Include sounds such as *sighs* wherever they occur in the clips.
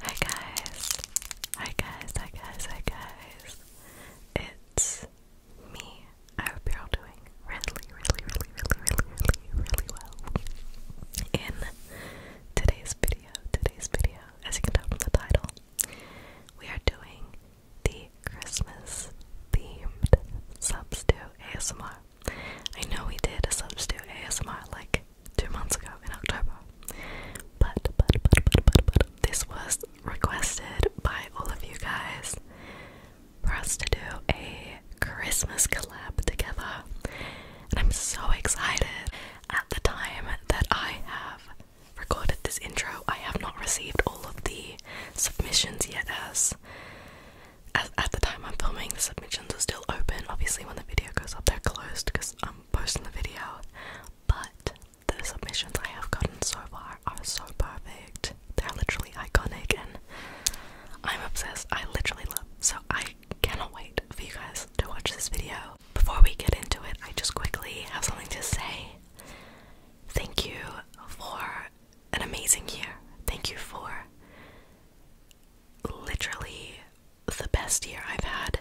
Hi guys, hi guys, hi guys, hi guys. It's me. I hope you're all doing really, really, really, really, really, really, really well. In today's video, today's video, as you can tell from the title, we are doing the Christmas themed subs to ASMR. I know we did a subs to ASMR like two months ago in October, but but, but but but but this was requested by all of you guys for us to do a Christmas collab together, and I'm so excited. At the time that I have recorded this intro, I have not received all of the submissions yet, as at the time I'm filming, the submissions are still open. Obviously, when the video goes up, they're closed because I'm posting the video. But the submissions I have gotten so far are so perfect. They're literally iconic, and I'm obsessed. I literally love. So I cannot wait for you guys to watch this video. Before we get into it, I just quickly have something to say. Thank you for an amazing year. Thank you for literally the best year I've had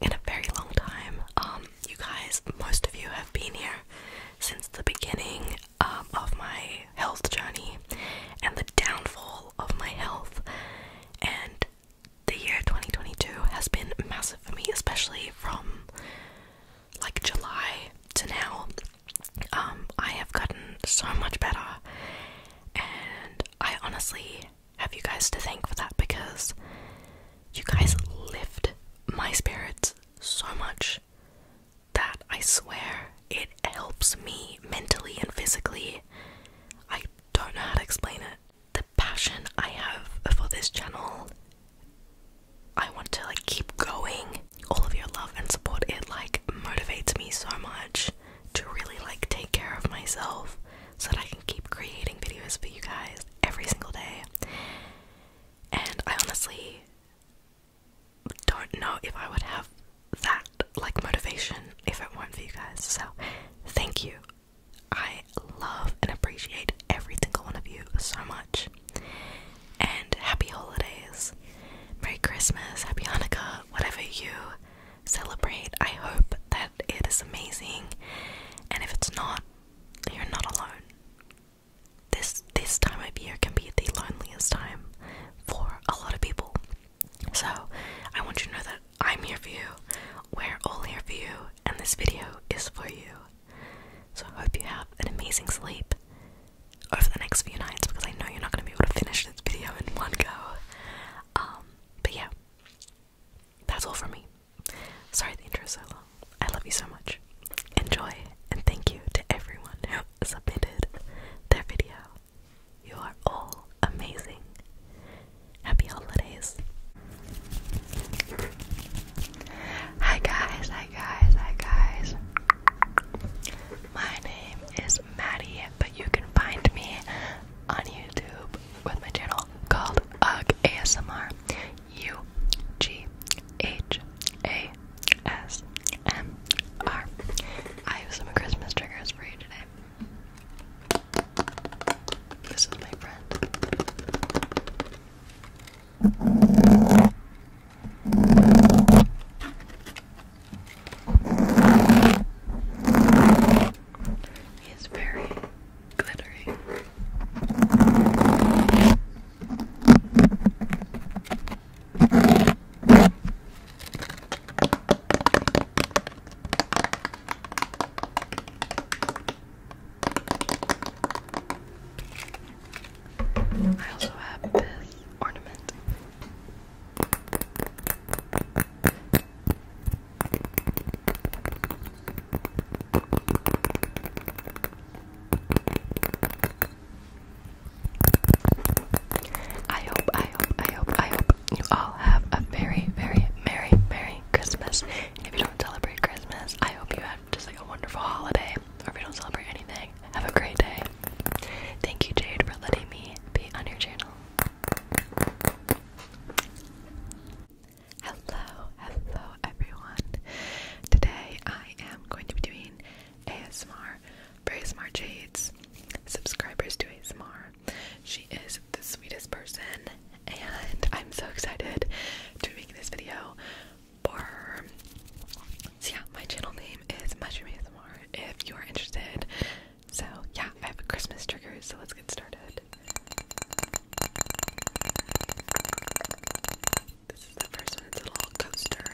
in a very long time. Um, you guys, most of you have been here since the beginning um, of my health journey and the downfall of my health. And the year 2022 has been massive for me, especially from like July to now, um, I have gotten so much better, and I honestly have you guys to thank for that because you guys lift my spirits so much that I swear it helps me mentally and physically. I don't know how to explain it. The passion I have for this channel I want to like keep going. All of your love and support it like motivates me so much to really like take care of myself so that I can keep creating videos for you guys every single day. And I honestly don't know if I would have that like motivation if it weren't for you guys. So, thank you. I love and appreciate every single one of you so much. And happy holidays. Merry Christmas, Happy Hanukkah, whatever you celebrate. I hope that it is amazing. And if it's not, you're not alone. This this time of year can be the loneliest time for a lot of people. So I want you to know that I'm here for you, we're all here for you, and this video is for you. So I hope you have an amazing sleep over the next few nights because I know you're not going to be able to finish this video in one go. Um, but yeah, that's all from me. Sorry the intro is so long. I love you so much. Enjoy and thank you to everyone who submitted their video. You are all amazing. Happy holidays. Hi guys, hi guys, hi guys. My name is Maddie, but you can find me on YouTube with my channel called UG ASMR. U G H A S M R. I have some Christmas triggers for you today. This is my friend. He is very glittery. I also have this ornament. I hope, I hope, I hope, I hope you all have a very, very merry, merry Christmas. if you don't celebrate Christmas, I hope you have just like a wonderful holiday. Or if you don't celebrate anything, have a great day. Thank you, Jade, for letting me be on your channel. Hello, hello, everyone. Today I am going to be doing ASMR for ASMR Jade's subscribers to ASMR. She is the sweetest person, and I'm so excited to be this video. So yeah, my channel name is Mushroom ASMR if you are interested. So yeah, I have a Christmas trigger, so let's get started. This is the first one, it's a little coaster.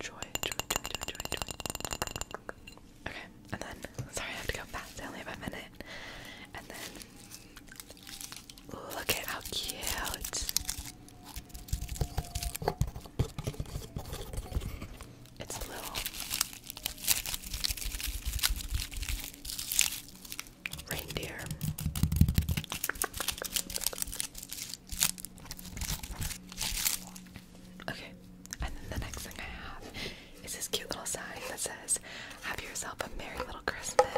Joy, joy, joy, joy, joy, joy. Okay, and then, sorry I have to go fast, I only have a minute. And then Look at how cute. It's a little reindeer. Okay, and then the next thing I have is this cute little sign that says have yourself a merry little Christmas.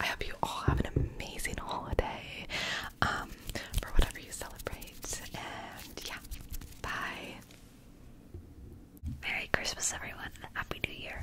I hope you all have an amazing holiday um, for whatever you celebrate. And yeah, bye. Merry Christmas, everyone. Happy New Year.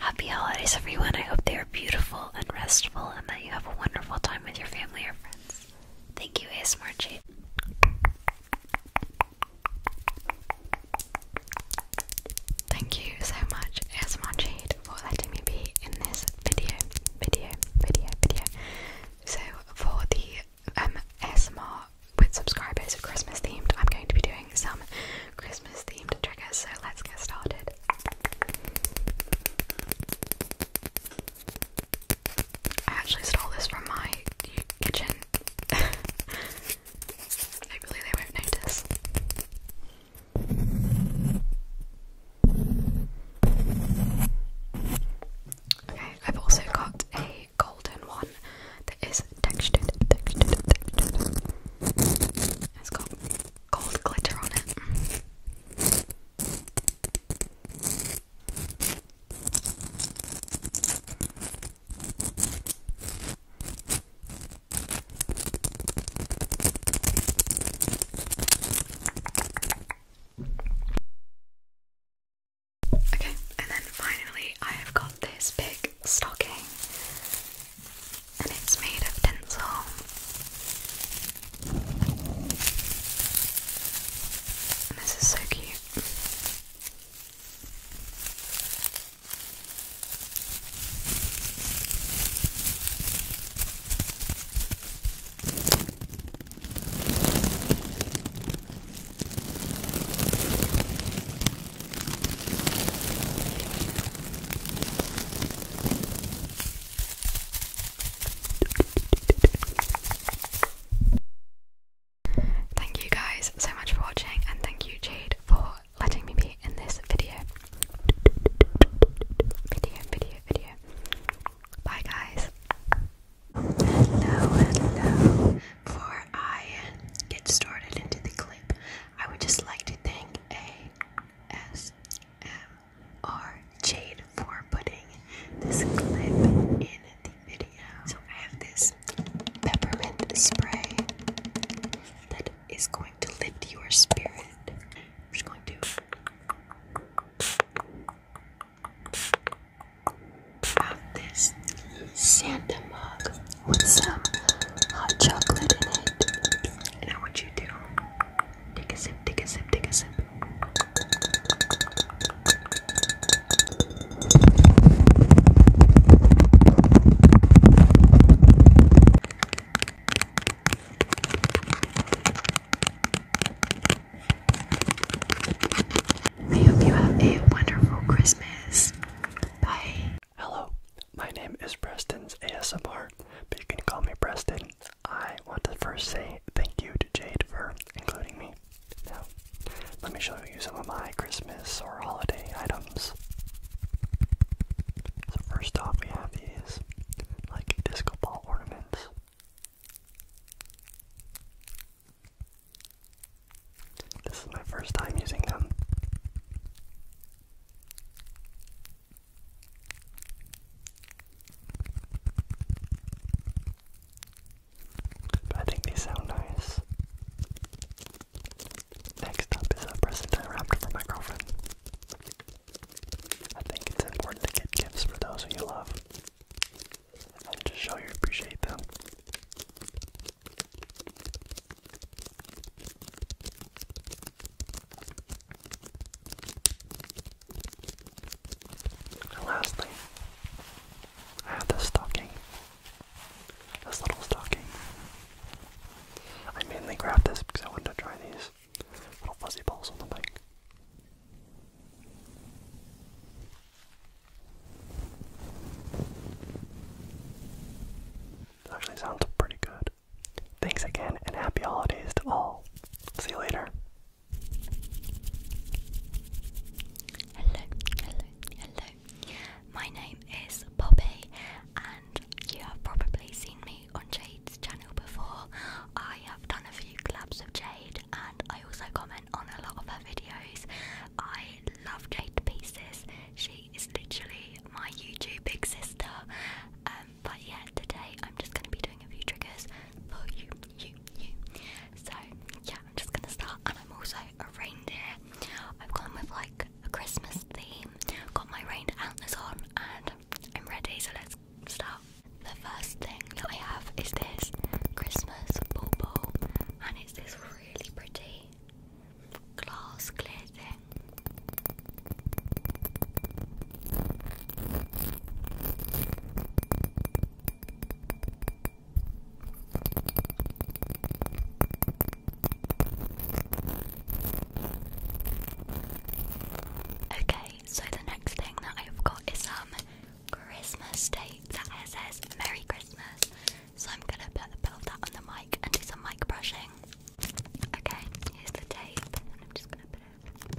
Happy holidays, everyone. I hope they are beautiful and restful and that you have a wonderful time with your family or friends. Thank you, ASMR Cheat. Thank you so much, ASMR Cheat, for letting me be in this video, video, video, video. So, for the um, ASMR with subscribers Christmas themed, I'm going to be doing some Christmas themed triggers. So, let's get started. I actually stole this from my kitchen. Hopefully *laughs* they won't notice. Okay, I've also got a golden one that is textured. It's got gold glitter on it. Okay, and then finally, I have got this big stocking, and it's made of tinsel. This is so cute. Thank you guys so much for watching, and thank you, Jade, for letting me be in this video. Video, video, video. Bye, guys. Hello, hello. Before I get started into the clip, I would just like to thank A S M are jade for putting this clip in the video. So I have this peppermint spray that is going to lift your spirit. I'm just going to have this Santa mug with some hot chocolate in it. And I want you to Take a sip, take a sip, take a sip. I hope you have a wonderful Christmas. Bye. Hello, my name is Preston's ASMR, but you can call me Preston. I want to first say thank you to Jade for including me. Now, let me show you some of my Christmas or holiday items. So, first off, we have these like disco ball ornaments. This is my first time using them. But I think these sound nice. Next up is a present I wrapped for my girlfriend. I think it's important to get gifts for those who you love and to show you appreciate them. And lastly, I have this stocking. This little stocking. I mainly grabbed this because I wanted to try these little fuzzy balls on the bike. actually sounds pretty good. Thanks again and happy holidays to all. See you later. Hello, hello, hello. My name is Poppy, and you have probably seen me on Jade's channel before. I have done a few collabs with Jade, and I also comment on a lot of her videos. I love Jade to pieces. She is literally my YouTube big sister. Um, but yeah, today I'm just going to be doing a few triggers for you, so yeah, I'm just gonna start, and I'm also a reindeer. I've gone with like a Christmas theme. Got my reindeer antlers on, and I'm ready. So let's start. The first thing that I have is this Christmas bauble, and it's this really pretty glass clear thing. Okay, so the next thing that I've got is um Christmas tape that says Merry Christmas. So I'm gonna put a bit of that on the mic and do some mic brushing. Okay, here's the tape, and I'm just gonna put it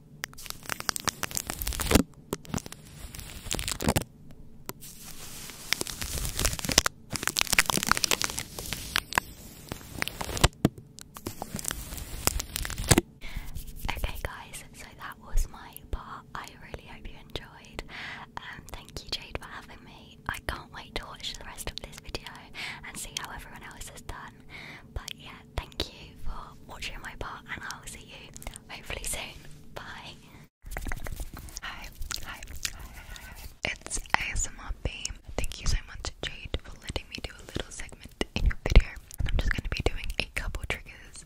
Okay, guys, so that was my part. I really hope you enjoyed. Um, thank you, Jade, for having me. I can't wait to watch the rest of this video and see how everyone else has done. But yeah, thank you for watching my part, and I'll see you hopefully soon. Bye. Hi, hi, hi, hi, It's ASMR Beam. Thank you so much, Jade, for letting me do a little segment in your video. I'm just going to be doing a couple triggers.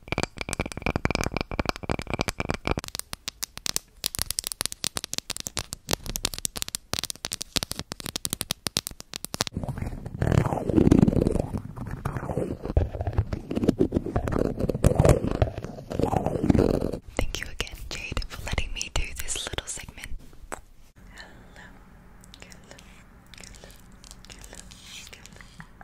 Thank you again, Jade, for letting me do this little segment. Hello, hello, hello, hello, hello,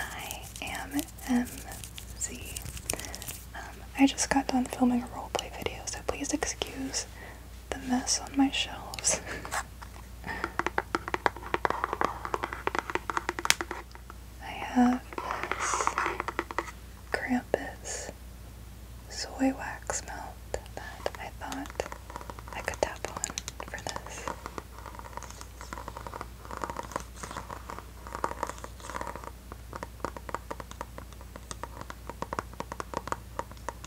I am MZ. just got done filming a roleplay video, so please excuse the mess on my shelves. I have this Krampus soy wax melt that I thought I could tap on for this.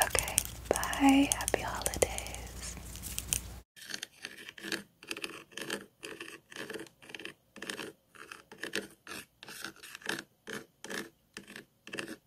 Okay, bye. Happy holidays.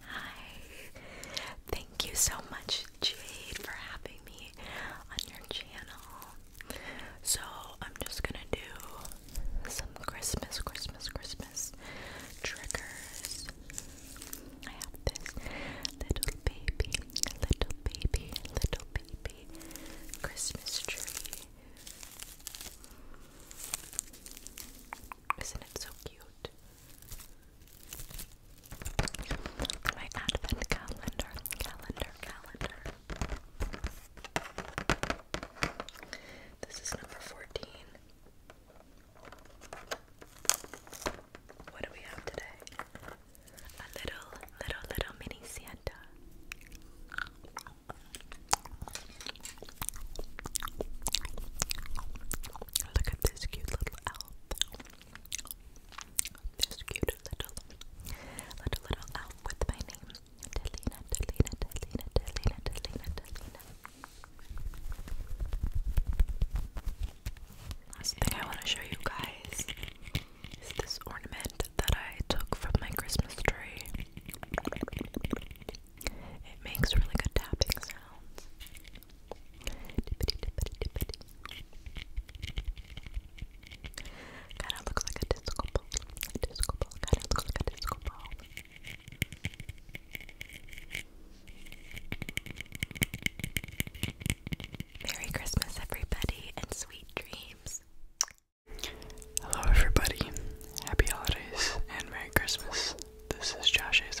Hi. Thank you so much, Jade, for having me on your channel. So, I'm just gonna do some Christmas, Christmas, Christmas triggers. I have this little baby, little baby, little baby Christmas tree. Isn't it so cute? My advent calendar, calendar, calendar. This is number 14. What do we have today? A little, little, little mini Santa. Look this cute little elf. This cute little, little, elf with my name. Delina, Delina, Delina, Delina, Delina, Delina. Last thing I want to show you guys is this ornament that I took from my Christmas tree. It makes really good tapping sounds. Kind of looks like a disco ball. disco ball. Kind of looks like a disco ball. Merry Christmas, everybody, and sweet dreams. Hello, everybody. Happy holidays and Merry Christmas. This is Josh ASMR.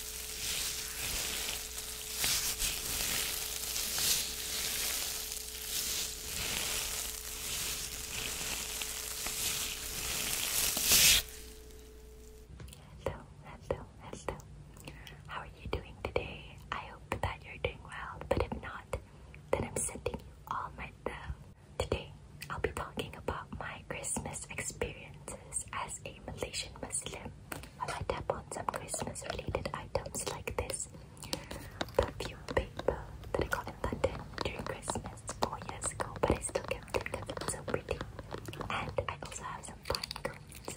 Hello, hello, hello. How are you doing today? I hope that you're doing well, but if not, then I'm sending you all my love. Today, I'll be talking about my Christmas experiences as a Malaysian Muslim i I tap on some Christmas related items like this perfume paper that I got in London during Christmas four years ago, but I still kept it because it's so pretty. And I also have some pine cones.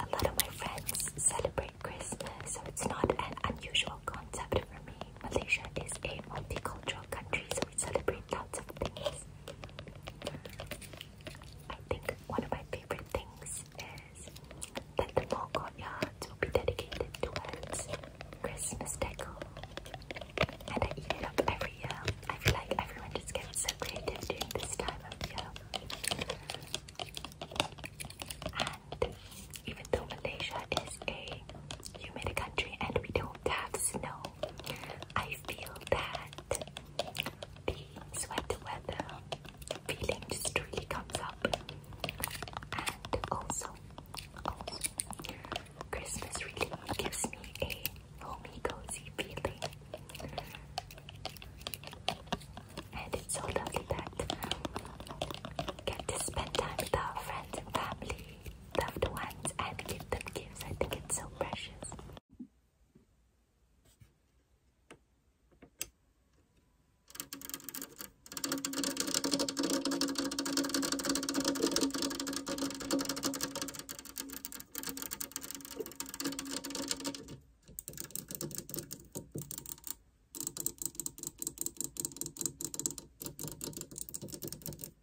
A lot of my friends celebrate Christmas, so it's not an unusual concept for me. Malaysia is a multicultural country, so we celebrate lots of things. I think one of my favorite things is that the mall courtyards will be dedicated to towards Christmas decor. And I eat it up every year. I feel like everyone just gets so creative during this time of year. even though Malaysia is a country. You made a country and we don't have snow. I feel that the sweater weather feeling just really comes up. And also, also Christmas really gives me a homey cozy feeling. And it's so lovely that get to spend time with our friends and family loved ones and give them gifts. I think it's so precious.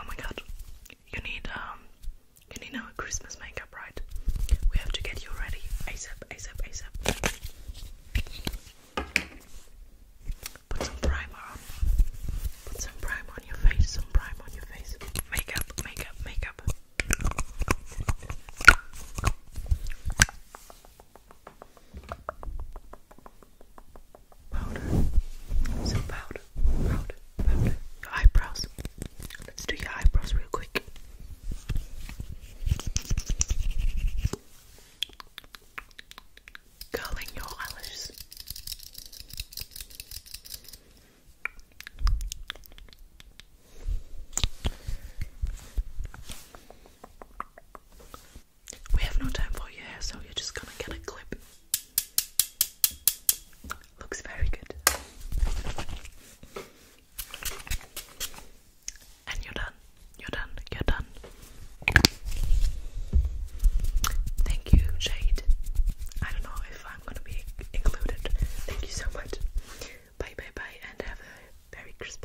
Oh my god, you need um, you need now a Christmas makeup, right? We have to get you ready ASAP, ASAP, ASAP. Put some primer on. Put some primer on your face. Some primer on your face. Makeup, makeup, makeup powder. So powder, powder, powder. Your eyebrows. Let's do your eyebrows real quick. Curling your eyelashes. We have no time for your hair, so you're just gonna get a clip. Looks very good. And you're done. You're done. You're done. Thank you, Jade. I don't know if I'm gonna be included. Thank you so much. Bye bye bye and have a very crisp.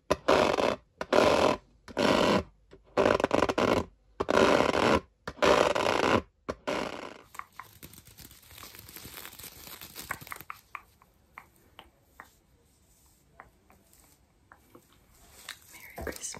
Merry Christmas.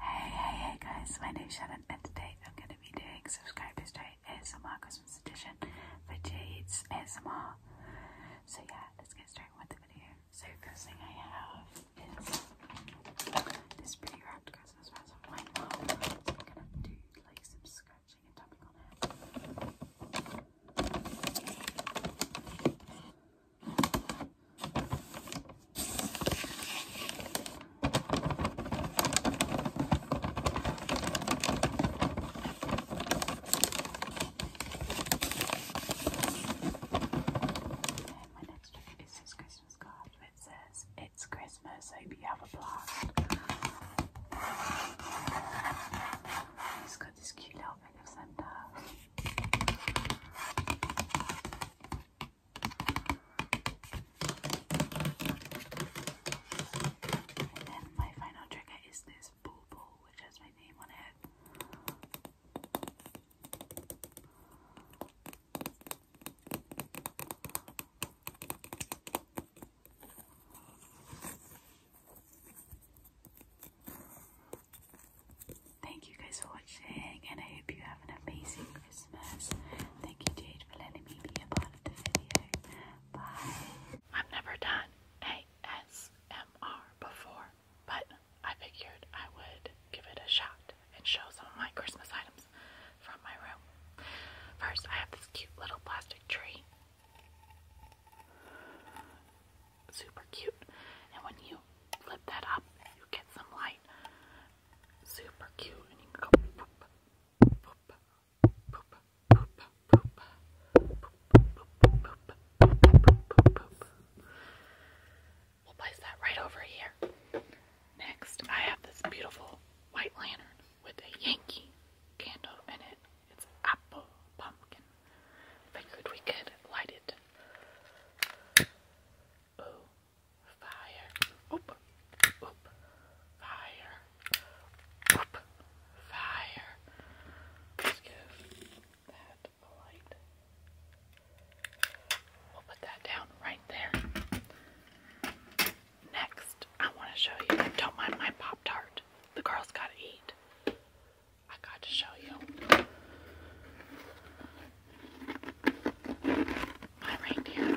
Hey, hey, hey guys, my name's Shannon and today I'm going to be doing subscribers straight ASMR because edition for Jade's ASMR. So yeah, let's get started with the video. So first thing I have is this pretty wrapped Christmas present from So I'm gonna do like some scratching and tapping on it. I my next trick is this Christmas card which says, It's Christmas, hope you have a blast. He's got this cute little bit of Santa. And then my final trigger is this which has my name on it. Thank you guys for watching, and I hope you have an amazing Christmas. Thank you, Jade, for letting me be a part of the video. Bye. I've never done ASMR before, but I figured I would give it a shot and show some of my Christmas items from my room. First, I have this cute little plastic tree. Super cute. And when you flip that up, you get some light. Super cute. And you can go boop, boop, We'll place that right over here. Next, I have this beautiful white lantern with a Yankee candle in it. It's apple pumpkin. Figured we could light it. Oh, fire. Oop, oop, fire. Fire. Let's give that light. We'll put that down right there. Next, I want to show you. Don't mind my Pop Tart. The girls gotta eat. I got to show you. My reindeer.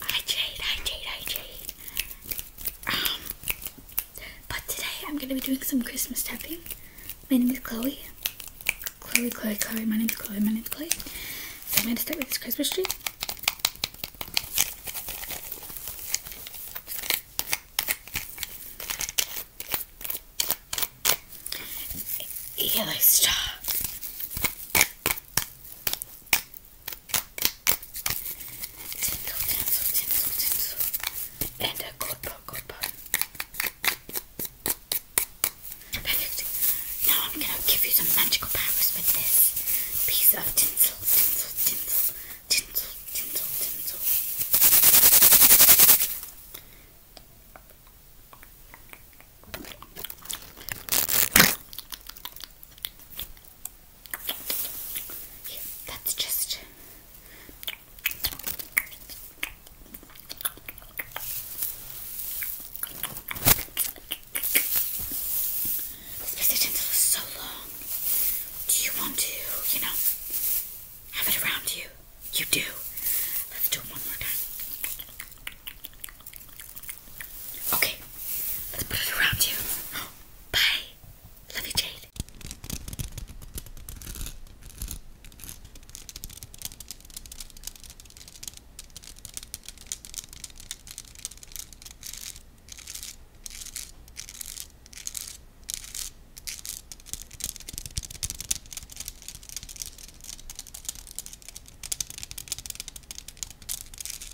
Hi Jade, hi Jade, hi Jade. Um, but today I'm gonna be doing some Christmas tapping. My name is Chloe. Chloe, Chloe, Chloe. My name is Chloe. My name is Chloe. So I'm gonna start with this Christmas tree. Yellow star. Tinsel, tinsel, tinsel, tinsel. And a gold bar, gold bar. Perfect. Now I'm gonna give you some magical powers with this piece of tinsel, tinsel, tinsel, tinsel, tinsel, tinsel that's just. This position is so long. Do you want to, you know, have it around you? You do. Let's do it one more time. Okay, let's put it around you. Bye. Love you, Jade.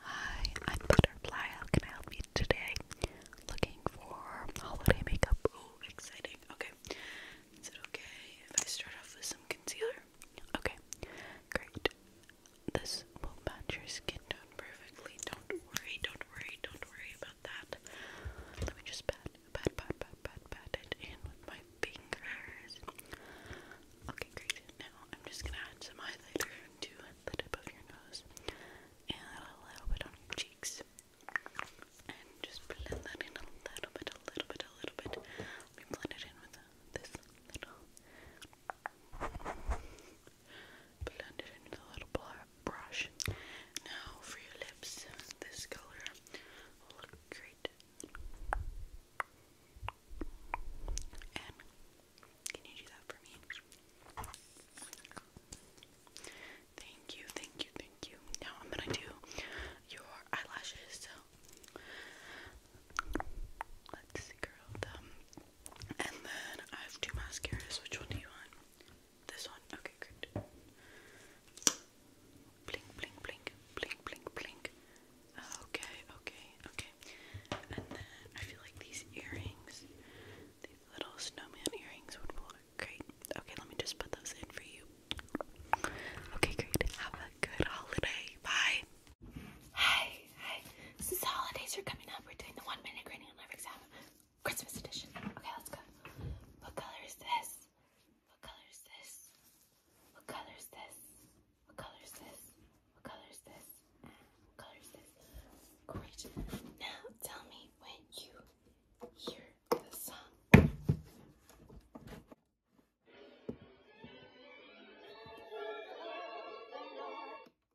Hi, I'm Butterfly. How can help you today? Looking for holiday makeup. Oh, exciting. Okay. Is it okay if I start off with some concealer? Okay. Great. This will match your skin tone perfectly. Don't worry, don't worry, don't worry about that. Let me just pat, pat, pat, pat, pat, pat it in with my fingers. Okay, great. Now I'm just gonna add some highlighter to the tip of your nose and a little bit on your cheeks. And just blend that in a little bit, a little bit, a little bit. Let me blend it in with this little blend it into the little brush. Now for your lips, this color will look great. can you do that for me? Thank you, thank you, thank you. Now I'm gonna do your eyelashes. So let's curl them and then I have two mascaras. Which one do you want? This one? Okay, good. Blink, blink, blink, blink, blink, blink. Okay, okay, okay. And then I feel like these earrings, these little snowman earrings would look great. Okay, let me just put those in for you. Okay, great. Have a good holiday. Bye. Hi, Hi. hey. Since the holidays are coming up, we're doing the one minute grading on life exam Christmas edition. Okay, let's go. What color is this? What color is this? What color is this? What color is this? What color is this? What color is this? Great. Now tell me when you hear the song.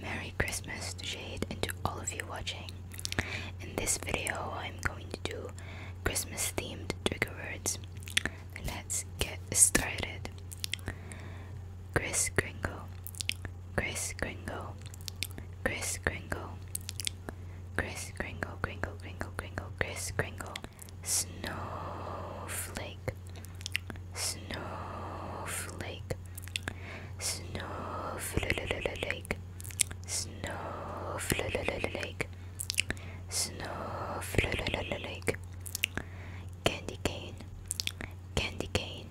Merry Christmas to Jade and to all of you watching. In this video, I'm going to do Christmas themed trigger words. Let's get started. Chris Gringo Chris Gringo, Chris Gringo, Chris Gringo, Gringo, Gringo, Gringo, Chris Gringo, Snowflake, Snowflake, Snowflake, Snowflake, Snowflake, Candy cane, Candy cane,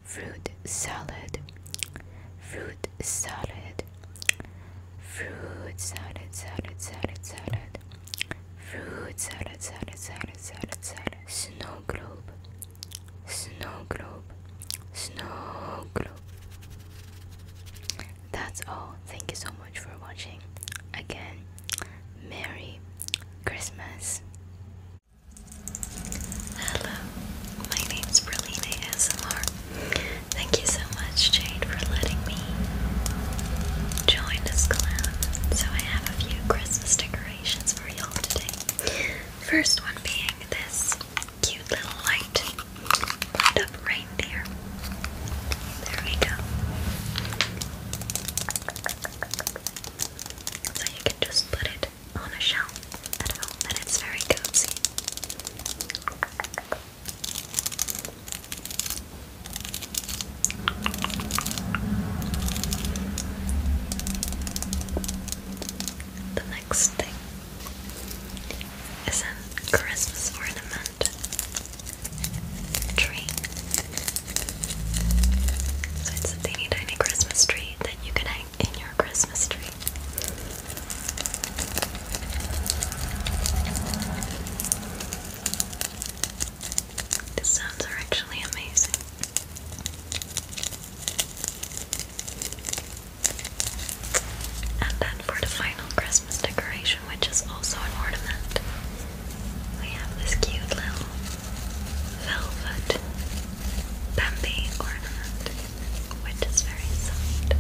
fruit salad, fruit salad, fruit salad, salad, salad, salad, fruit salad, salad, salad, salad, salad, snow globe, snow globe, snow globe. That's all. Thank you so much for watching. Again, Merry Christmas. Hello, my name's Berlina ASMR. Thank you so much, Jade, for letting me join this collab. So I have a few Christmas decorations for y'all today. First one being this cute little light, light up reindeer. There we go. So you can just put it on a shelf at home, and it's very cozy. The next thing is a Christmas ornament tree. So it's a teeny tiny Christmas tree that you can hang in your Christmas tree. The sounds are actually amazing. And then for the final Christmas decoration, which is also an ornament, we have this cute little velvet Bambi ornament which is very soft.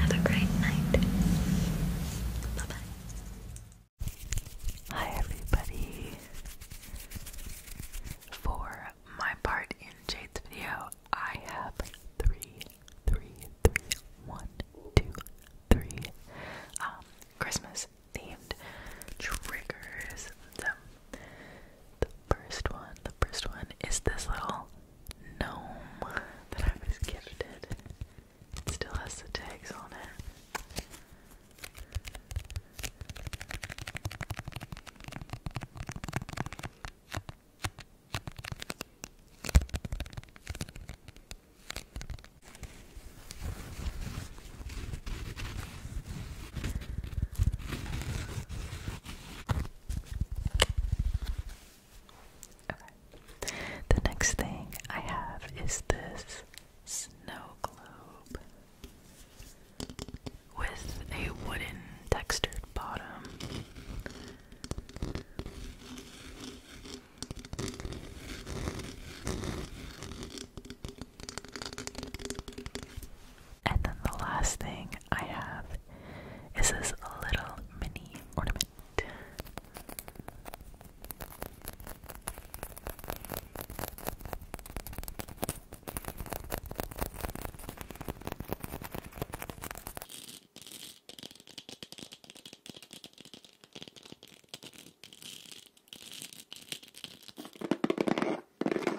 Have a great night. Bye bye. Hi, everybody. For my part in Jade's video, I have three, three, three, one, two, three um, Christmas themed triggers. The first one, the first one is this little gnome that I was gifted. It still has the tags on it. The next thing I have is this snow globe with a wooden textured bottom. And then the last thing I have is this little mini ornament.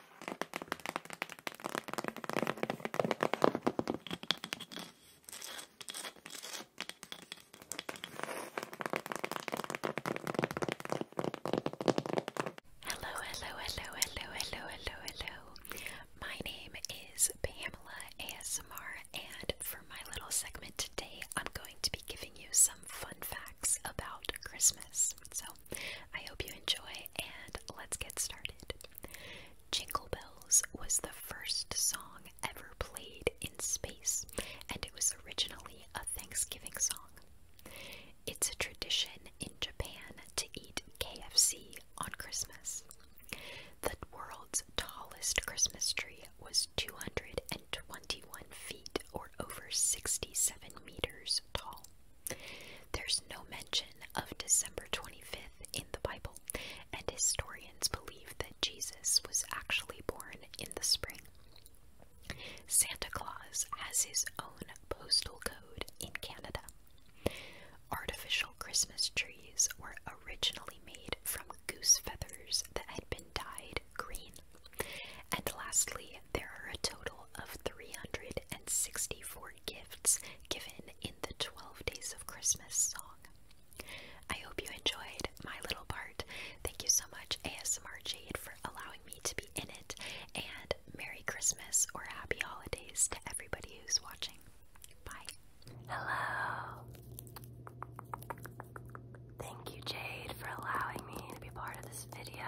Hello, hello, hello, hello, hello, hello, hello. My name is Pamela ASMR, and for my little segment today, I'm going to be giving you some fun facts about Christmas. So I hope you enjoy, and let's get started. Jingle Bells was the first song ever played in space, and it was originally a Thanksgiving song. It's a tradition in Japan to eat KFC on Christmas. The world's tallest Christmas tree was 221 feet or over 67 meters tall. There's no mention of December 25th in the Bible, and historians believe that Jesus was actually born in the spring. Santa Claus has his own postal code in Canada. Artificial Christmas trees were originally made from goose feathers that had been dyed green. And lastly, there are a total of 300 and sixty-four gifts given in the 12 Days of Christmas song. I hope you enjoyed my little part. Thank you so much, ASMR Jade, for allowing me to be in it, and Merry Christmas or Happy Holidays to everybody who's watching. Bye. Hello. Thank you, Jade, for allowing me to be part of this video.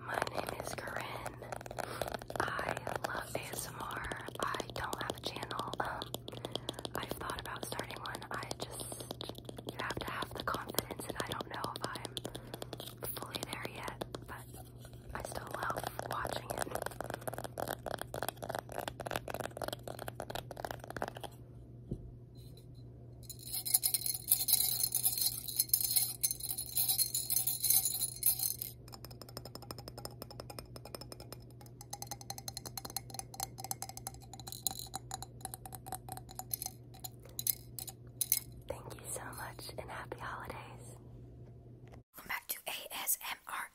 My name is Corinne. I love ASMR. I don't have a channel. Um, I've thought about starting one. I just you have to have the confidence, and I don't know if I'm fully there yet. But I still love watching it. Thank you so much and happy holidays. Welcome back to ASMR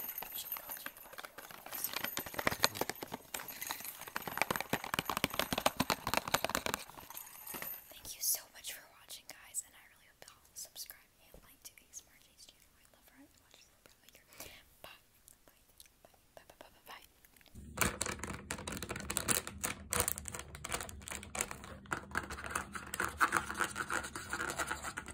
Thank you so much for watching, guys, and I really hope you will subscribe and like to ASMR channel. I love her. I watch her for later. Bye. Bye. Bye. Bye. Bye. Bye. Bye.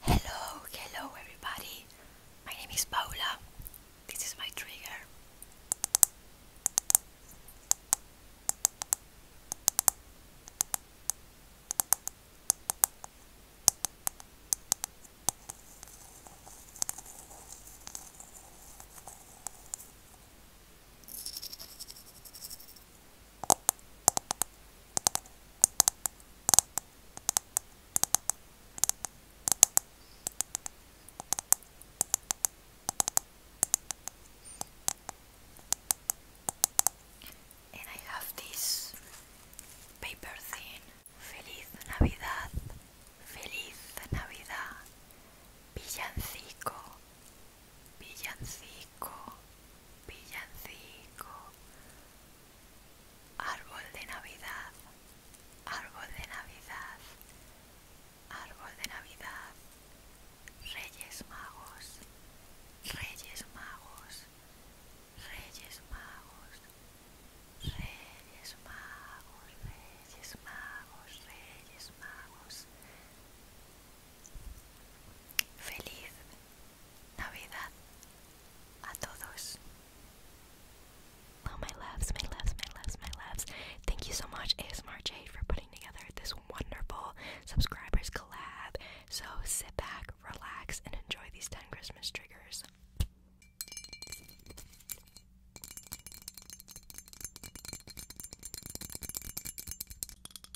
Hello, hello everybody. My name is Paula. This is my trigger. And I have this paper thing. Feliz Navidad, Feliz Navidad, Villancico, Pillancico, pillancico, árbol de Navidad, árbol de Navidad, árbol de Navidad, Reyes Magos, Reyes Magos, Reyes Magos, Reyes Magos, Reyes Magos, Reyes Magos. Feliz Navidad a todos. Oh, my loves, my loves, my loves, my loves. Thank you so much, ASMR Jade, for putting together this wonderful subscribers collab. So sit back, relax, and enjoy these 10 Christmas triggers.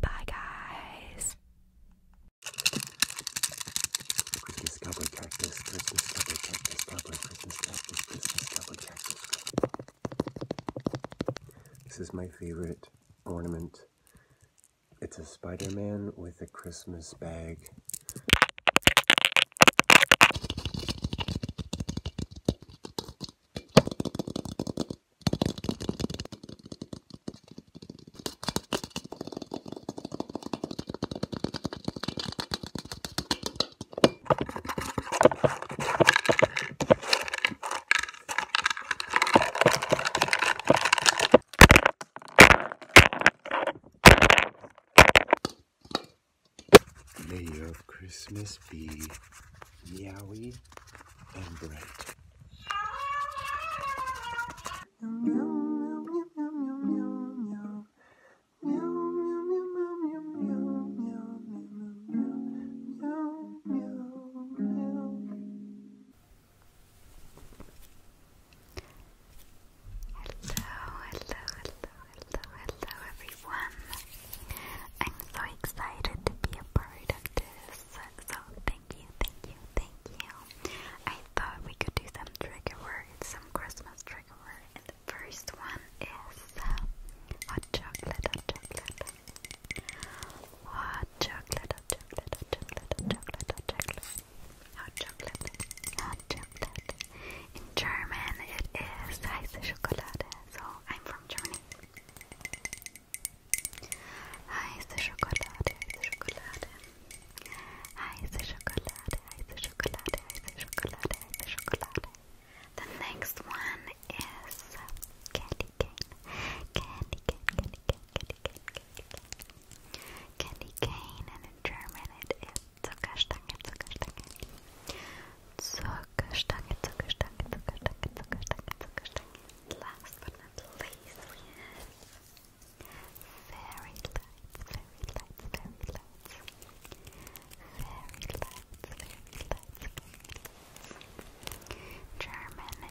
Bye, guys. Discover cactus, Christmas, discover cactus, discover Christmas, cactus, Christmas, discover cactus. This is my favorite ornament. It's a Spider-Man with a Christmas bag. May your Christmas be meowy and bright hello, hello, hello, everyone. I'm so excited to be a part of this. So thank you, thank you, thank you. I thought we could do some trigger words, some Christmas trigger words. And the first one is uh, chocolate, hot chocolate. Hot chocolate, hot chocolate, hot chocolate, hot chocolate, hot chocolate. Hot chocolate, hot chocolate. In German, it is heiße Schokolade. So I'm from Germany. Heiße Schokolade, heiße Schokolade. Heiße Schokolade, heiße Schokolade, heiße Schokolade, heiße Schokolade. The next one is candy cane. Candy cane, candy cane, candy cane, candy cane. Candy cane, and in German it is Zuckerstange, Zuckerstange. Zuckerstange, Zuckerstange, Zuckerstange, Zuckerstange, Last but not least, we have fairy lights, fairy lights, fairy lights. Fairy lights, fairy lights, German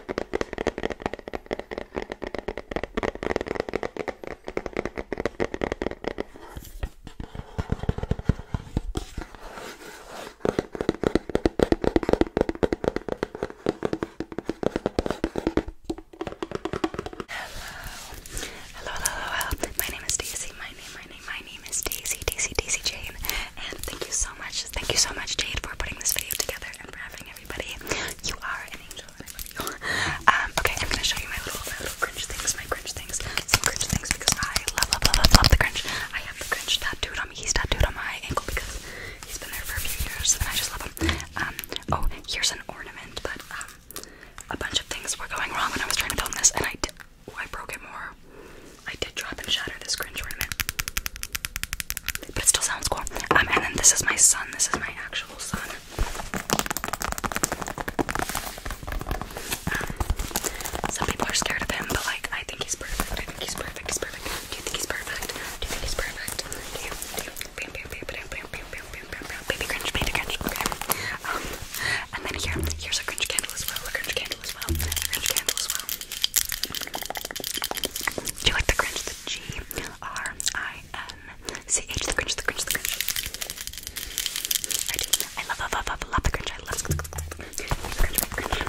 hello, hello. My name is Daisy. My name, my name, my name is Daisy, Daisy, Daisy Jane. And thank you so much Thank you so much, Jade, for putting this video together and for having everybody. You are an angel, and I love you. Um, okay, I'm gonna show you my little, my little cringe things, my cringe things, some cringe things because I love, love, love, love, love the cringe. I have the cringe tattooed on me. He's tattooed on my ankle because he's been there for a few years, and I just love him. Um, oh, here's an ornament, but um, a bunch of things were going wrong when I was trying to film this, and I I broke it more. I did drop and shatter this cringe ornament. But it still sounds cool. Um, and then this is my son. This is my actual son. Um, some people are scared of him, but like, I think he's perfect. I think he's perfect. He's perfect. Do you think he's perfect? Do you think he's perfect? Bam, bam, bam, bam, bam, bam, bam, bam, bam, bam. Baby cringe, baby cringe. Okay. Um, and then here, here's a cringe candle as well. A cringe candle as well. cringe candle as well. Do you like the Grinch? The G R I N C H. The Grinch. The Grinch. The Grinch. I do. I love, love, love, the Grinch. I love the Grinch. The Grinch.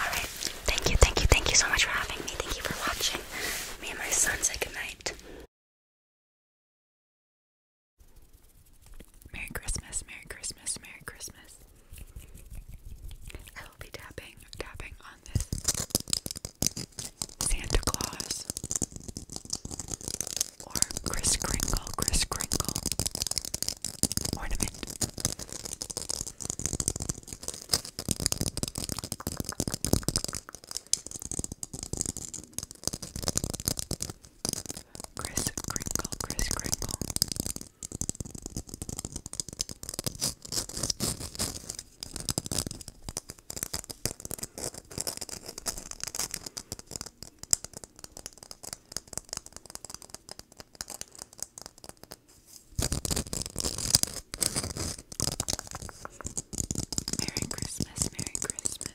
All right. Thank you, thank you, thank you so much for having me. Thank you for watching. Me and my son say good night. Merry Christmas, Merry Christmas, Merry Christmas. I will be tapping, tapping on this Santa Claus or Kris Kringle, Kris Kringle ornament. Chris Kringle, Chris Kringle. Merry Christmas, Merry Christmas.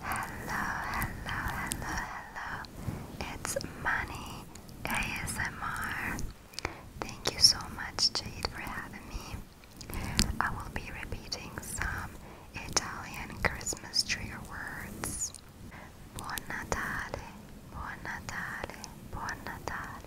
Hello, hello, hello, hello. It's Money ASMR. Thank you so much, Jade, for having me. I will be repeating some Italian Christmas tree words. Buon Natale, Buon Natale, Buon Natale,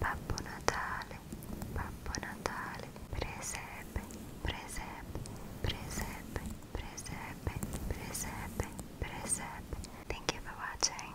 Babbo Natale, Babbo Natale, presepe, presepe, presepe, presepe, presepe, presepe. Thank you for watching.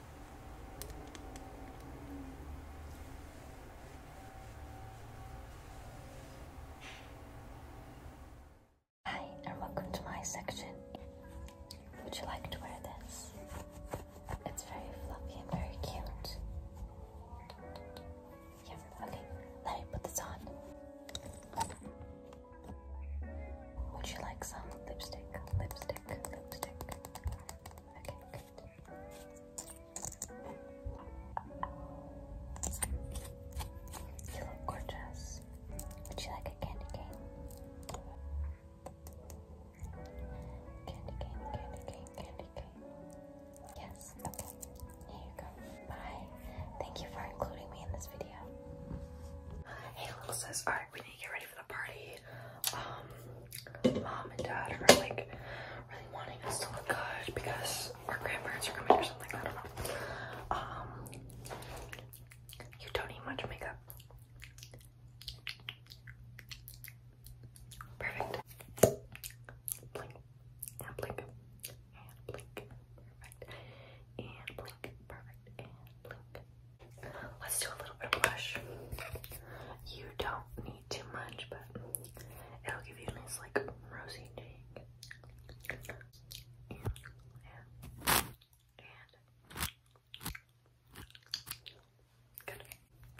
Hi, and welcome to my section. Would you like to wear this? It's very fluffy and very cute. Yeah, okay, let me put this on. Would you like some lipstick? Lipstick, lipstick. Okay, you look gorgeous. Would you like a candy cane? Candy cane, candy cane, candy cane. Yes, okay. Here you go. Bye. Thank you for including me in this video. Hey, little sis. Alright, we need to get ready ready party. Um, mom and dad are like really wanting us to look good because our grandparents are coming or something. I don't know. Um, you don't need much makeup. Perfect. Blink and blink and blink. Perfect. And blink. Perfect. And blink. Let's do a little bit of blush. You don't need too much, but it'll give you a nice, like, rosy cheek.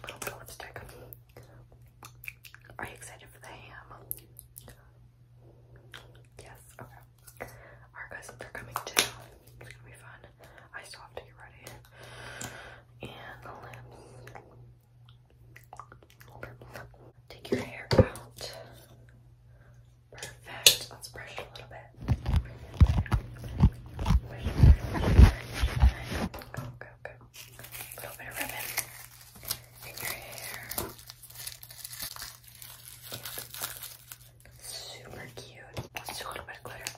Little bit of lipstick. Are you excited for the ham? Yes, okay. Our cousins are coming too. It's gonna be fun. I still have to get ready. Take your hair out. Perfect. Let's brush it a little bit. A little bit of ribbon in your hair. Super cute. let a little bit of glitter.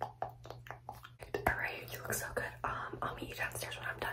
All right, you look so good. Um, I'll meet you downstairs when I'm done.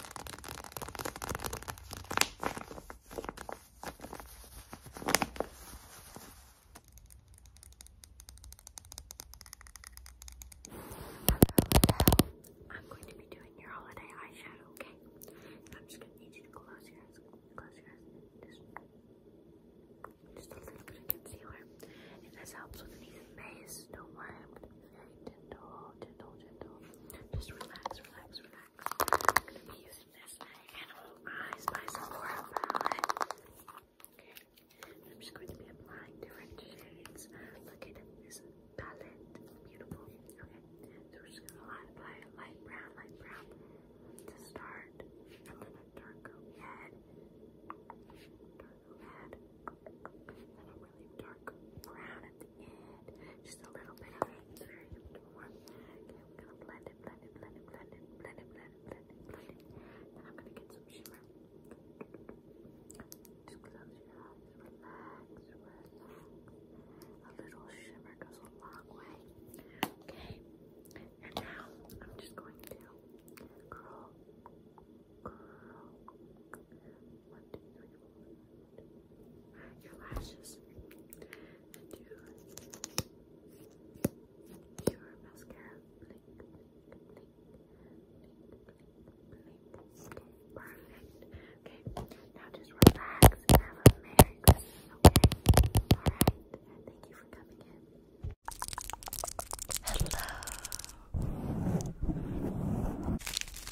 So, I'm going to be doing your holiday eyeshadow, okay? I'm just going to need you to close your eyes, close your eyes, just, a little bit of concealer. If this helps with any maze, don't worry, I'm going to be very gentle, gentle, gentle. Just relax, relax, relax. I'm gonna be using this Animal Eyes by Sephora palette. Okay, I'm just going to be applying different shades. Look at this palette, beautiful. Okay, so we just gonna apply a light brown, light brown to start, and then a dark red, dark red, dark brown at the end. Just a little bit of it. It's very warm. Okay, we it, blend it, blend it, blend it, blend Then I'm gonna get some shimmer. Just close your eyes, relax, relax. A little shimmer goes a long way. Okay. And now I'm just going to curl, curl, your lashes, your mascara. Blink, Perfect. Okay, now just relax and have a merry Christmas. All right. Thank you for coming in. Hello.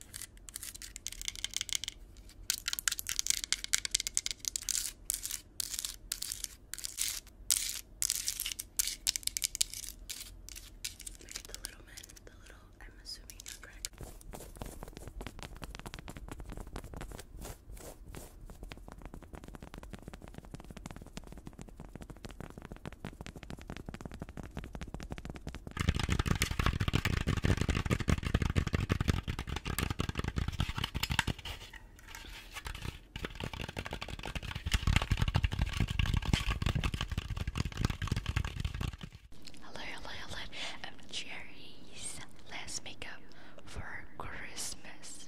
Look at the little man, the little, I'm assuming not crack. Hello, hello, hello. I'm Let's make up for Christmas.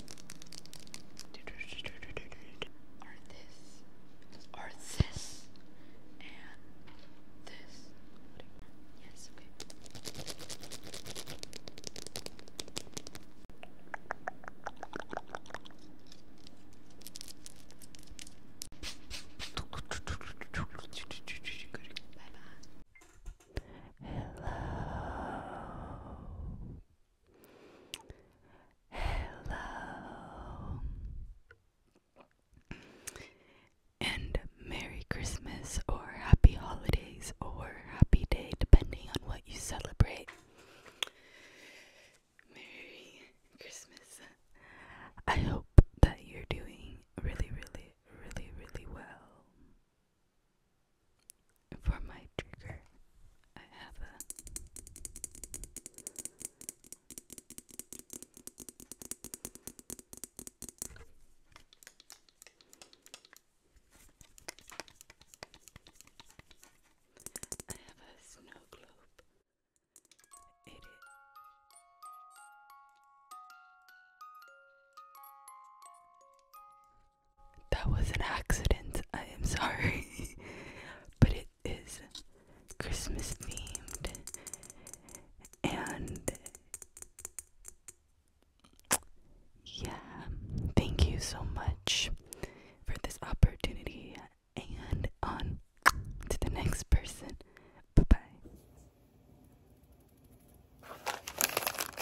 Or this. Or this. And this. Yes, bye. Hello. Hello. And Merry Christmas or Happy Holidays or Happy Day, depending on what you celebrate. Merry Christmas. I hope that you're doing really, really, really, really well. For my trigger, I have a I have a snow globe. It is that was an accident. I am sorry. *laughs* but it is Christmas themed. And yeah, thank you so much for this opportunity. And on to the next person. Bye bye.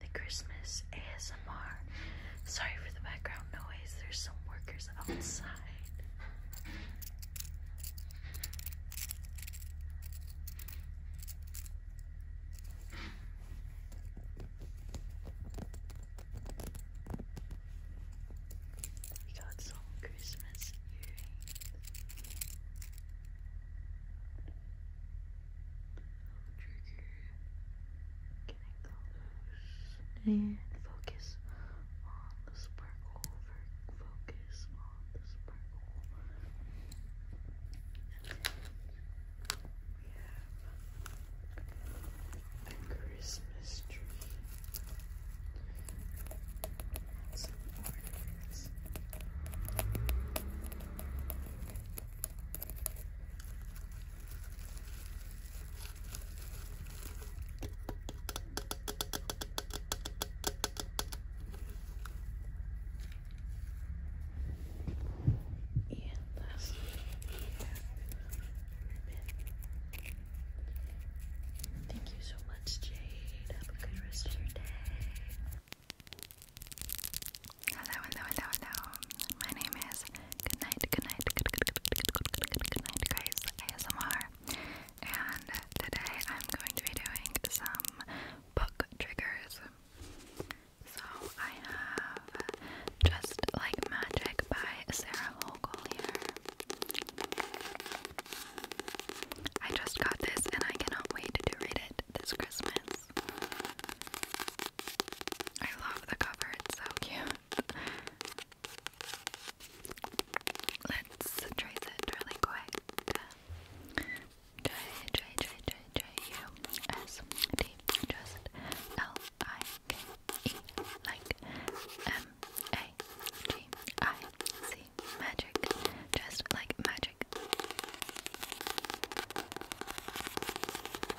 the Christmas ASMR. Sorry for the background noise, there's some workers outside. We got some Christmas earrings. Oh, Trigger and focus on the sparkle focus on the sparkle we have a Christmas tree and lastly, Thank you so much, Jade. Have a good rest of your day. Hello, hello, hello, hello. My name is Goodnight, Goodnight, Good Good Good Good Good Good Good Goodnight Grace ASMR, and today I'm going to be doing some book triggers. So I have Just Like Magic by Sarah Hochul here. I just got this and I cannot wait to read it this Christmas. I love the cover, it's so cute. *laughs* Let's trace it really quick. J, J, J, J, J, U, S, D, M, A, G, I, C, magic, just like magic.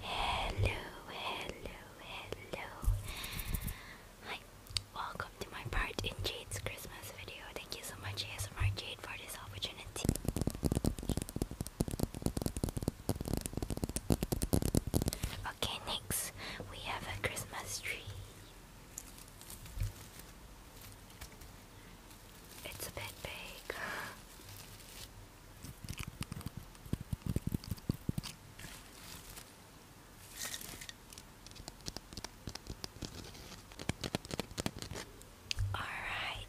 Hello, hello, hello. Hi, welcome to my part in Jade's Christmas video. Thank you so much, ASMR Jade, for this opportunity. Okay, next we have a Christmas tree. It's a bit big. Alright.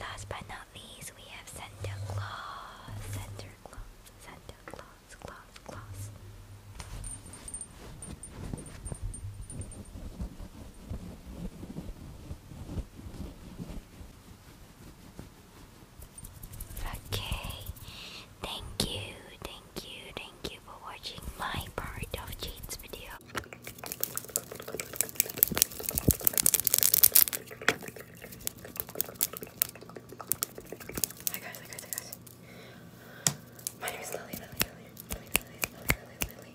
Last but not least, we have Santa Claus. Santa Claus. Santa Claus. Claus. Claus. Okay. Thank you. Thank you. Thank you for watching my part of Jade's video. Hi guys, hi guys, hi guys. My name is Lily, Lily, Lily, Lily, Lily, Lily, Lily,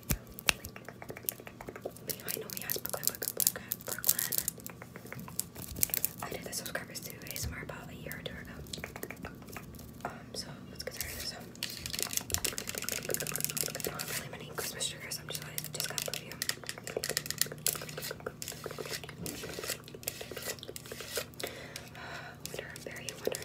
Lily. You know me as Brooklyn, Brooklyn, Brooklyn. I did the subscribers to ASMR about a year or two ago. Um, so let's get started. I don't have really many Christmas triggers. I'm just like, just got perfume. *sighs* Wonder, very wonder.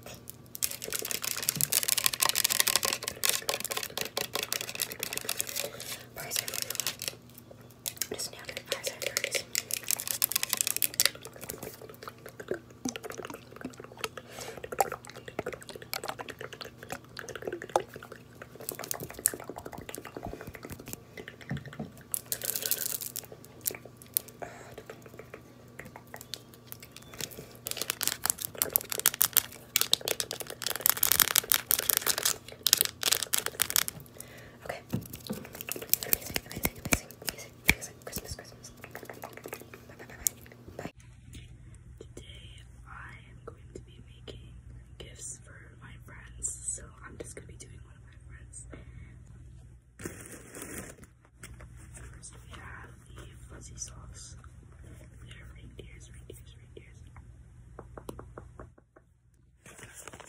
Price I really like. Just nailed it. Price I first. Okay. Amazing, amazing, amazing, amazing, amazing. Christmas, Christmas. Bye, bye, bye, bye. Today I am going to be making gifts for my friends, so I'm just gonna be doing one of my friends. First we have the fuzzy sauce. There are reindeers, reindeers, reindeers. Fantastic.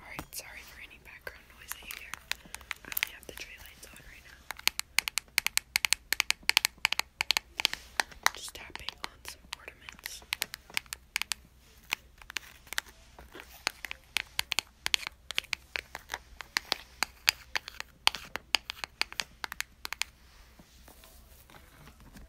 Alright, sorry for any background noise that you hear. I only have the tray lights on right now. Just tapping on some ornaments.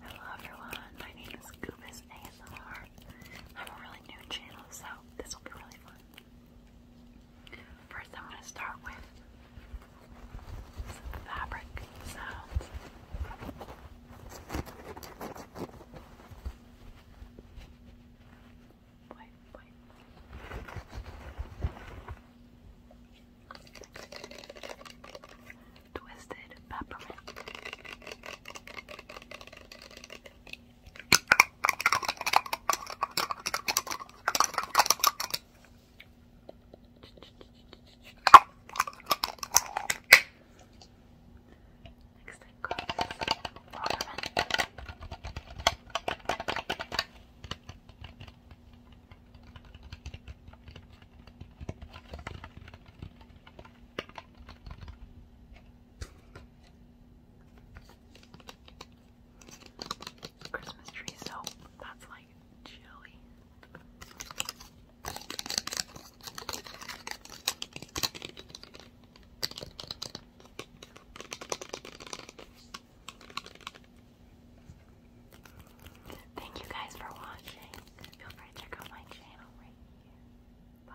Hello everyone, my name is Goobus ASMR. am a really new channel, so this will be really fun. First, I'm going to start with fabric sounds. Wait, wait. Twisted peppermint. Next, I Christmas tree soap. That's like chilly. Thank you guys for watching. Feel free to check out my channel right here. Bye.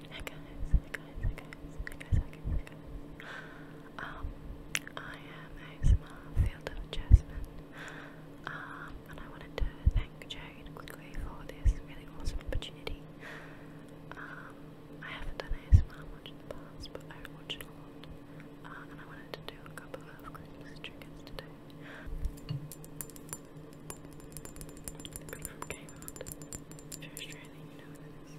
Hey guys, hey guys, hey guys, hey guys, hey guys, Um, I am a field of jasmine. Um, and I wanted to thank Jade quickly for this really awesome opportunity. Um, I haven't done ASMR much in the past, but I watch it a lot. Uh, and I wanted to do a couple of Christmas triggers today. But from Kmart. If you're Australian, you know what it is.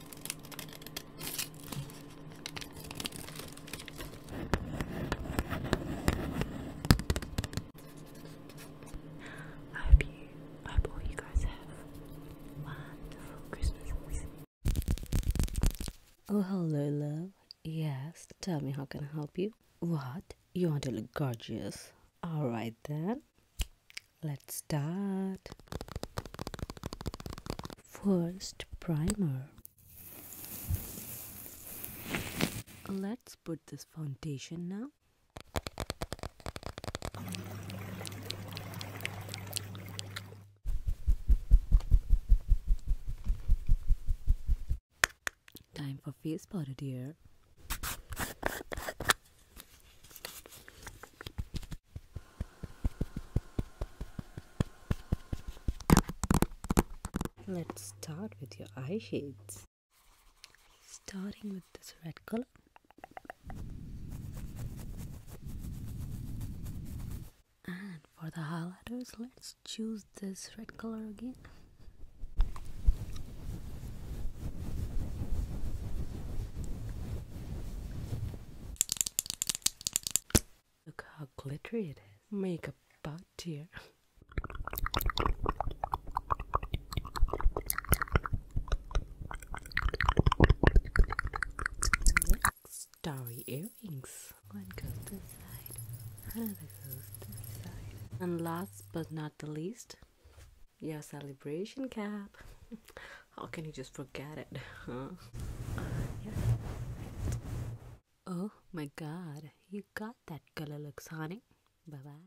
I hope you, I hope all you guys have wonderful Christmases. Oh, hello, love. Yes, tell me how can I help you? What? You want to look gorgeous? Alright then. Let's start. First, primer. Let's put this foundation now. Time for face powder, dear. Let's start with your eye shades. Starting with this red color. And for the highlighters, let's choose this red color again. Look how glittery it is. Make a butt tear. Starry earrings. One goes this another goes this And last but not the least, your celebration cap. *laughs* How can you just forget it? Huh? Oh my god, you got that color looks, honey. Bye bye.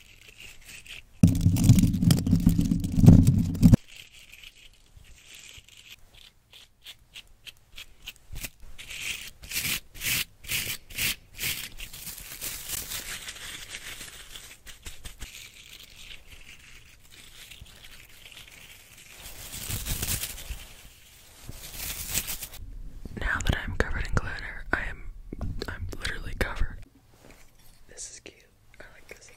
Now that I'm covered in glitter, I am I'm literally covered. This is cute. I like this.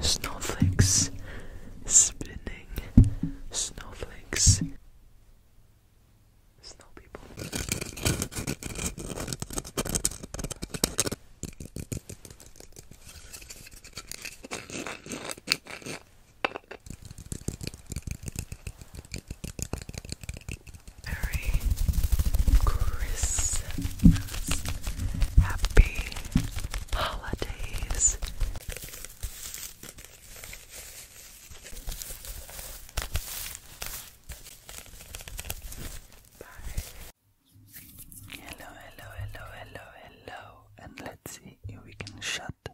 Snowflakes spinning. Snowflakes very Christmas. Happy holidays. Bye. Hello, hello, hello, hello, hello, and let's see if we can shut the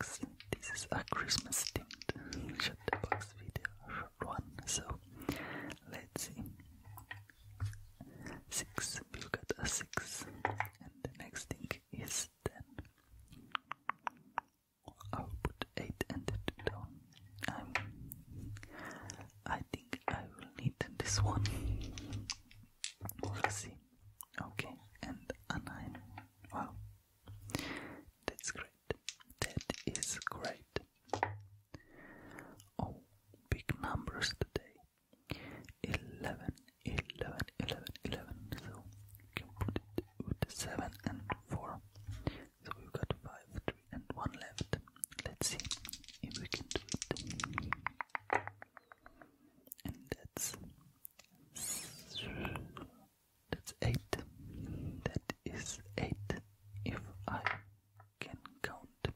this is a Christmas themed shut the box video, short one. So let's see. Six, we got a six, and the next thing is ten. I'll put eight and the down. I'm. I think I will need this one. We'll see. Okay, and a nine. Wow, that's great. That is great. Oh, big numbers today. 11, So we can put it with 7 and 4. So we got 5, 3 and 1 left. Let's see if we can do it. And that's that's eight. That is eight if I can count.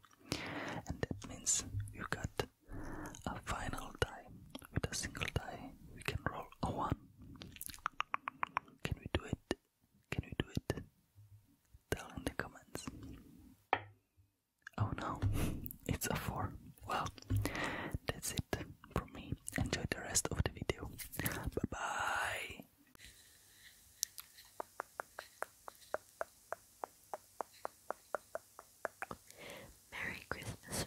And that means you got a final die. With a single die, we can roll a one. Can we do it? Can we do it? Tell in the comments. Oh no, *laughs* it's a four. Well, that's it from me. Enjoy the rest of the video. Bye bye. Merry Christmas.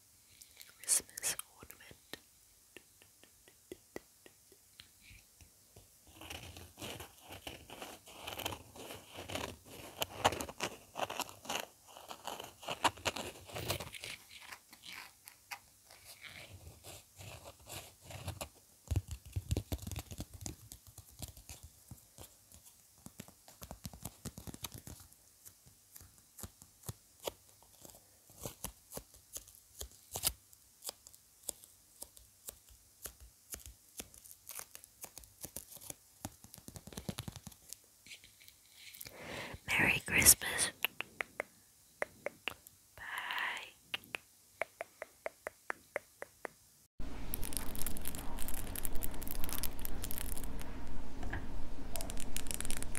Christmas ornament. Merry Christmas. Bye.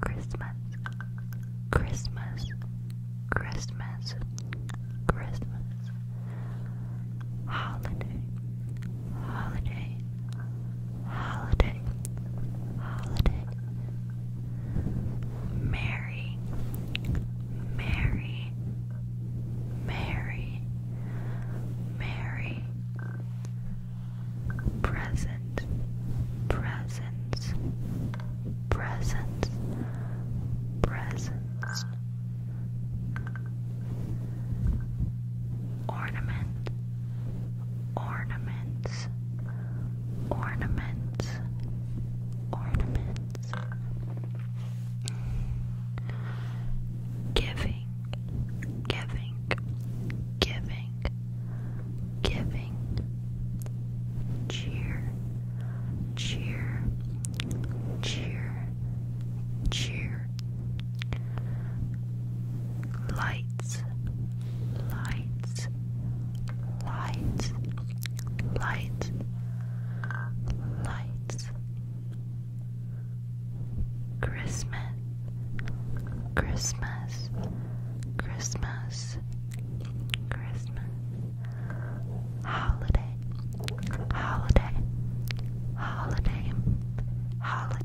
Christmas, Christmas, Christmas, Christmas, holiday, holiday, holiday, holiday, Merry, Merry, Merry, Merry present, presence, presence, presence, ornament, ornaments, ornaments, ornaments, giving giving, giving, giving, giving, cheer, cheer, cheer, cheer, lights, lights, lights, lights, lights. Christmas, Christmas, Christmas, Christmas, holiday, holiday, holiday, holiday.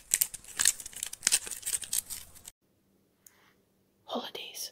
Holidays.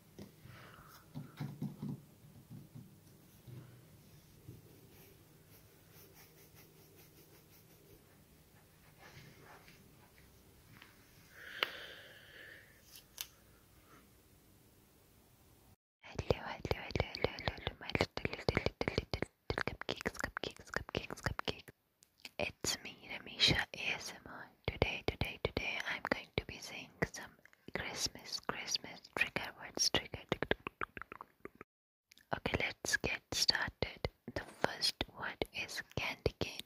Hello, hello, hello, hello, hello, my little, little, little, little, little cupcakes, cupcakes, cupcakes, cupcakes. It's me, Ramisha ASMR. Today, today, today, I'm going to be saying some Christmas, Christmas trigger words. Trigger. Okay, let's get started. The first word is candy cane,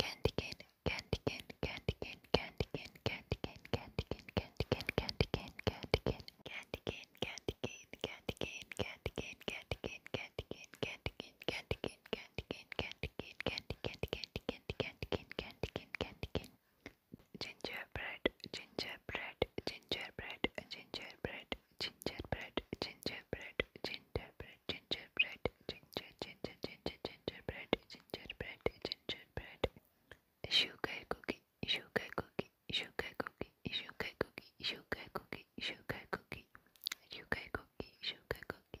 candy cane, candy cane, candy cane, candy cane, candy cane, candy cane, candy cane, candy cane, candy cane, candy cane, candy cane, candy cane, candy cane, candy cane, candy cane, candy cane, candy cane, candy cane, candy cane candy, candy, candy, candy, candy, candy, candy. Gingerbread, gingerbread, gingerbread, gingerbread, gingerbread, gingerbread, gingerbread, gingerbread, ginger, ginger, ginger, gingerbread, gingerbread, gingerbread. Sugar cookie, sugar cookie, sugar cookie, sugar cookie, sugar cookie, sugar cookie, sugar cookie, sugar cookie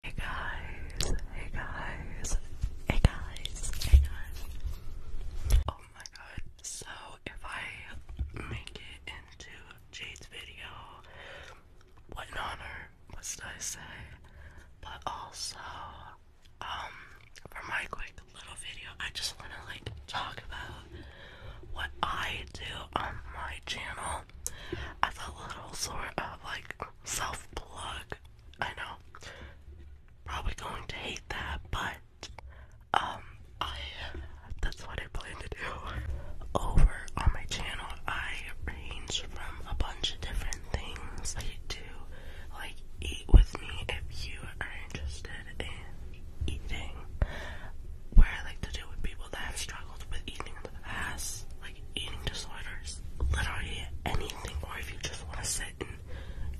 Hey guys, hey guys, hey guys, hey guys. Oh my god, so if I make it into Jade's video, what an honor must I say? But also, um, for my quick little video, I just wanna like talk about what I do on my channel as a little sort of like self plug I know. Probably going to hate that, but um I that's what I plan to do. Over on my channel I range from a bunch of different things. I do like eat with me if you are interested in eating. What I like to do with people that have struggled with eating in the past eating disorders, literally anything, or if you just want to sit and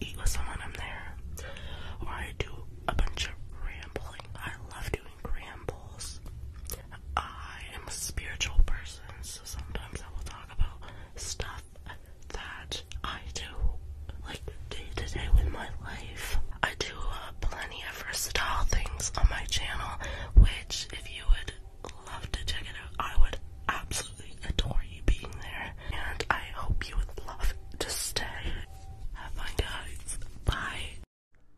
eat with someone, I'm there. Or I do a bunch of rambling. I love doing rambles. I am a spiritual person, so sometimes I will talk about stuff that I do, like day to day with my life. I do uh, plenty of versatile things on my channel, which, if you would love to check it out. I would absolutely adore you being there, and I hope you would love to stay. Have fun, guys. Bye.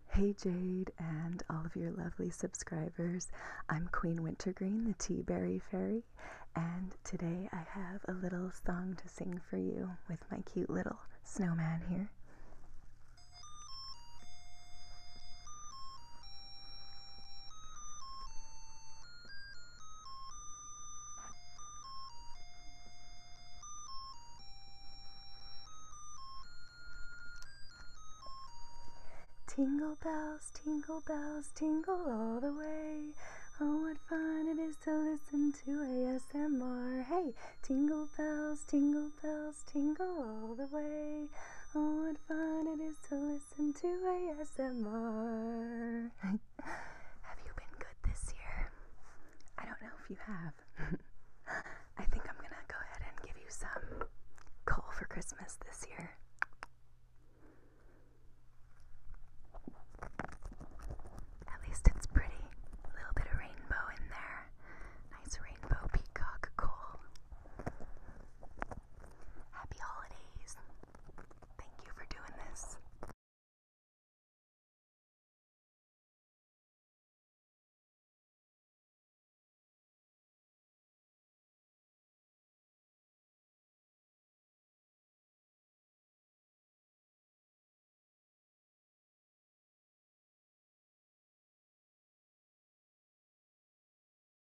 Hey Jade and all of your lovely subscribers. I'm Queen Wintergreen, the Tea Berry Fairy, and today I have a little song to sing for you with my cute little snowman here. Tingle bells, tingle bells, tingle all the way. Oh, what fun it is to listen to ASMR. Hey, tingle bells, tingle bells, tingle all the way. Oh, what fun it is to listen listen to ASMR. *laughs* have you been good this year? I don't know if you have. *laughs* I think I'm gonna go ahead and give you some coal for Christmas this year. At least it's pretty. A little bit of rainbow in there. Nice rainbow peacock coal. Happy holidays. Thank you for doing this.